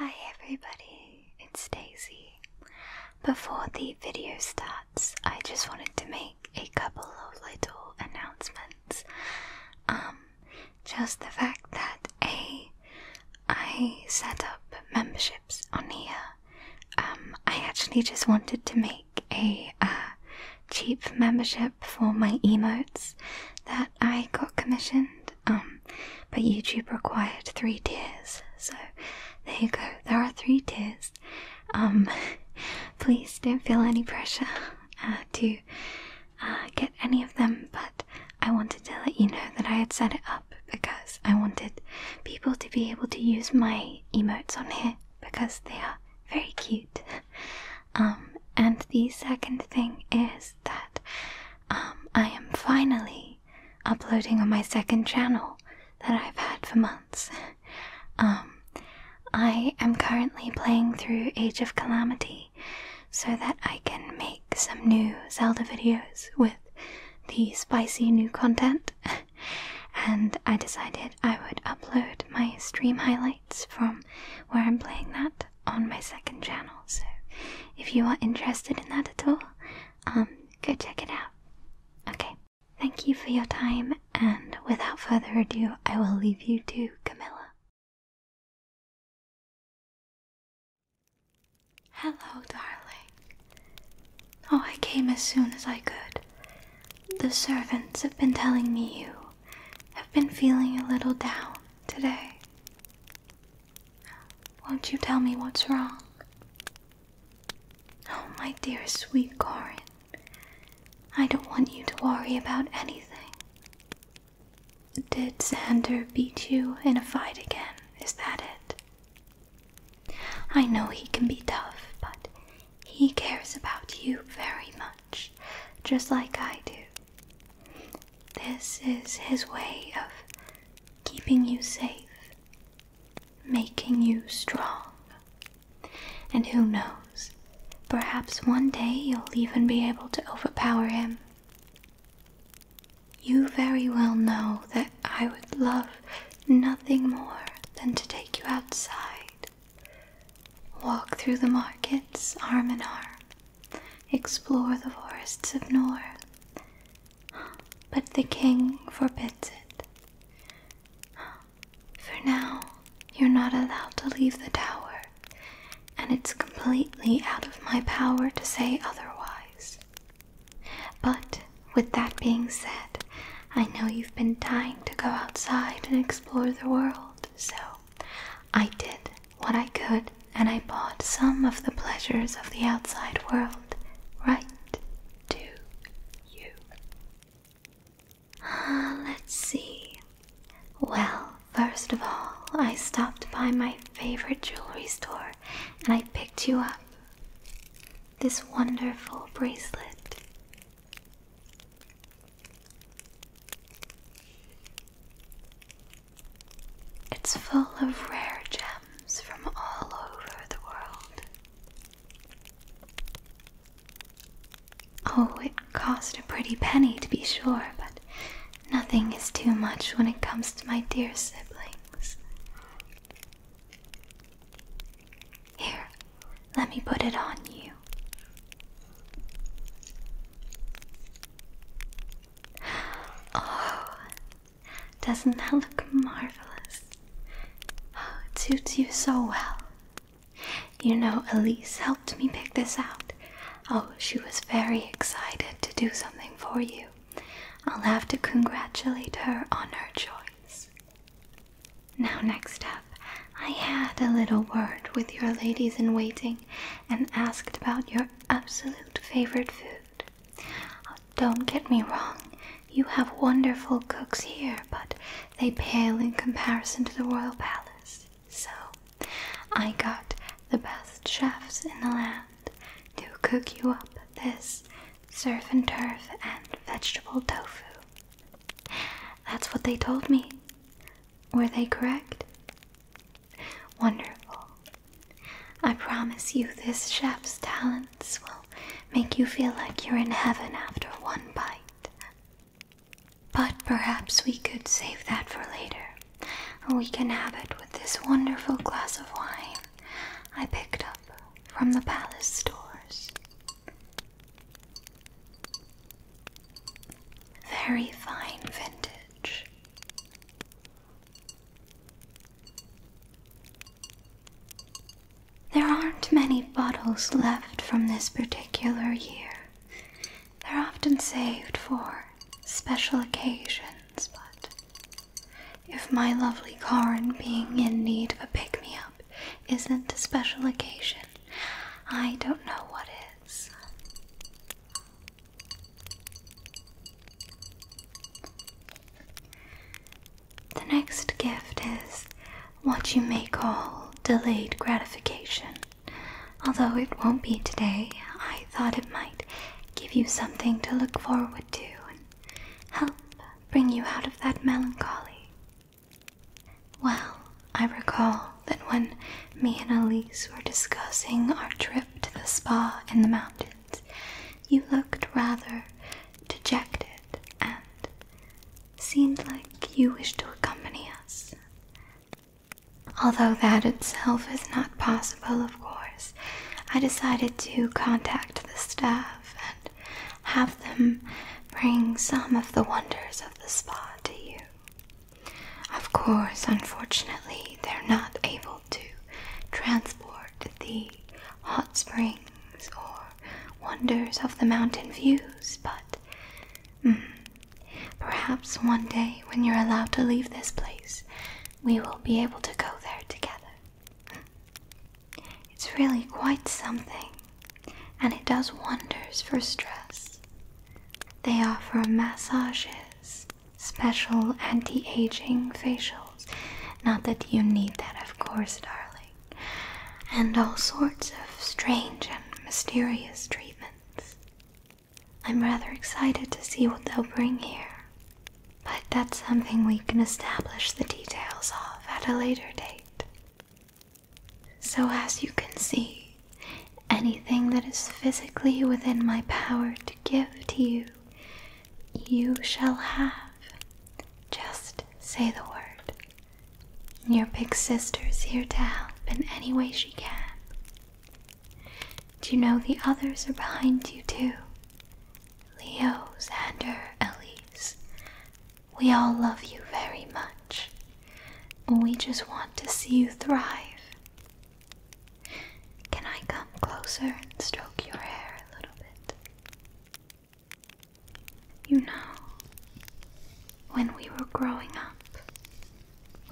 Hi everybody, it's Daisy. Before the video starts, I just wanted to make a couple of little announcements. Um, just the fact that a I set up memberships on here. Um, I actually just wanted to make a uh, cheap membership for my emotes that I got commissioned. Um, but YouTube required three tiers, so there you go. There are three tiers. Um, please don't feel any pressure. Uh, to uh, get any of them, but I wanted to let you know that I had set it up because I wanted people to be able to use my emotes on here because they are very cute. Um, and the second thing is that um, I am finally uploading on my second channel that I've had for months. Um, I am currently playing through Age of Calamity so that I can make some new Zelda videos with the spicy new content. and I decided I would upload my stream highlights from where I'm playing that on my second channel. So if you are interested in that at all, um, go check it out. Okay, thank you for your time, and without further ado, I will leave you to Camilla. Hello, darling. Oh, I came as soon as I could. The servants have been telling me you have been feeling a little down today. Won't you tell me what's wrong? Oh, my dear sweet Corin, I don't want you to worry about anything. Did Xander beat you in a fight again? Is that it? I know he can be tough, but he cares about you very much, just like I do. This is his way of keeping you safe, making you strong. And who knows, perhaps one day you'll even be able to overpower him. You very well know that I would love nothing more than to take you outside, walk through the markets arm in arm, explore the forests of Nor. But the king forbids it. For now, you're not allowed to leave the tower, and it's completely out of my power to say otherwise. But with that being said, I know you've been dying to go outside and explore the world, so I did what I could and I bought some of the pleasures of the outside world right to you. let's see. Well, first of all, I stopped by my favorite jewelry store and I picked you up this wonderful bracelet. It's full of rare gems from all over the world. Oh, it cost a pretty penny to be sure, but nothing is too much when it comes to my dear siblings. Here, let me put it on you. Oh, doesn't that look marvelous? Oh, it suits you so well. You know, Elise helped me pick this out. Oh, she was very excited to do something for you. I'll have to congratulate her on her choice. Now, next up, I had a little word with your ladies in waiting and asked about your absolute favorite food. Oh, don't get me wrong, you have wonderful cooks here, but they pale in comparison to the royal palace. So, I got the best chefs in the land to cook you up this surf and turf and vegetable tofu. That's what they told me. Were they correct? Wonderful. I promise you, this chef's talents will make you feel like you're in heaven after one bite. But perhaps we could save that for later. We can have it with this wonderful glass of wine I picked up from the palace stores. Very fine vintage. There aren't many bottles left from this particular year. They're often saved for special occasions, but if my lovely Corin being in need of a pick me up isn't a special occasion, I don't know what is. The next gift is what you may call delayed gratification. Although it won't be today, I thought it might give you something to look forward to and help bring you out of that melancholy. Well, I recall that when me and Elise were discussing our trip to the spa in the mountains, you looked rather dejected and seemed like you wished to accompany us. Although that itself is not possible, of course, I decided to contact the staff and have them bring some of the wonders of the spa to you. Of course, unfortunately, they're not able to transport the hot springs or wonders of the mountain views, but mm, perhaps one day when you're allowed to leave this place, we will be able to go there together. It's really quite something, and it does wonders for stress. They offer massages, special anti aging facials. Not that you need that, of course, darling and all sorts of strange and mysterious treatments. I'm rather excited to see what they'll bring here, but that's something we can establish the details of at a later date. So, as you can see, anything that is physically within my power to give to you, you shall have. Just say the word. Your big sister's here to help in any way she can. Do you know the others are behind you too? Leo, Xander, Elise. We all love you very much. We just want to see you thrive. Can I come closer and stroke your hair a little bit? You know, when we were growing up,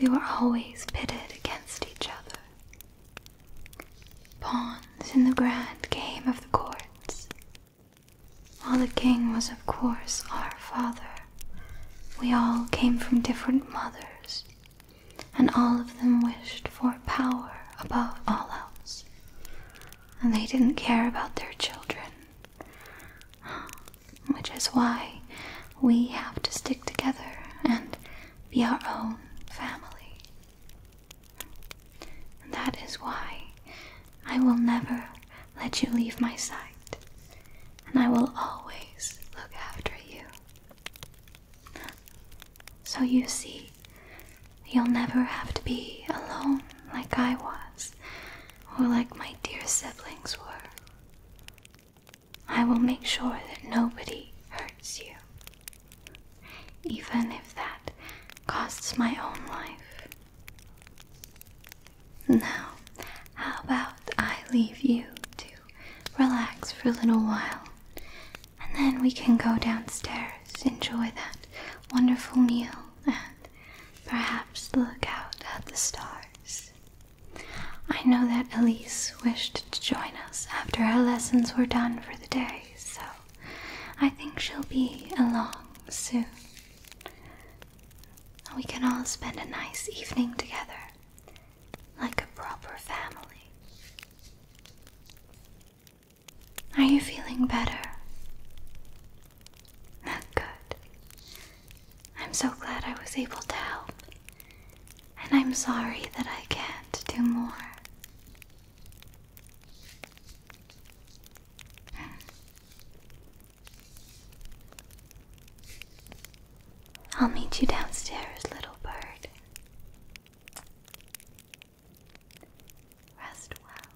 we were always pitted against each other. Pawns in the grand game of the courts. While the king was, of course, our father, we all came from different mothers, and all of them wished for power above all else and they didn't care about their children. Which is why we have to stick together and be our own family. And that is why I will never let you leave my side, and I will always look after you. So you see, you'll never have to be alone like I was, or like my dear siblings were. I will make sure that nobody hurts you, even if that costs my own life. Now, how about I leave you to relax for a little while and then we can go downstairs, enjoy that wonderful meal, and perhaps look out at the stars. I know that Elise wished to join us after her lessons were done for the day, so I think she'll be along soon. We can all spend a nice evening together, like a proper family. Are you feeling better? Good. I'm so glad I was able to help. And I'm sorry that I can't do more. I'll meet you downstairs, little bird. Rest well.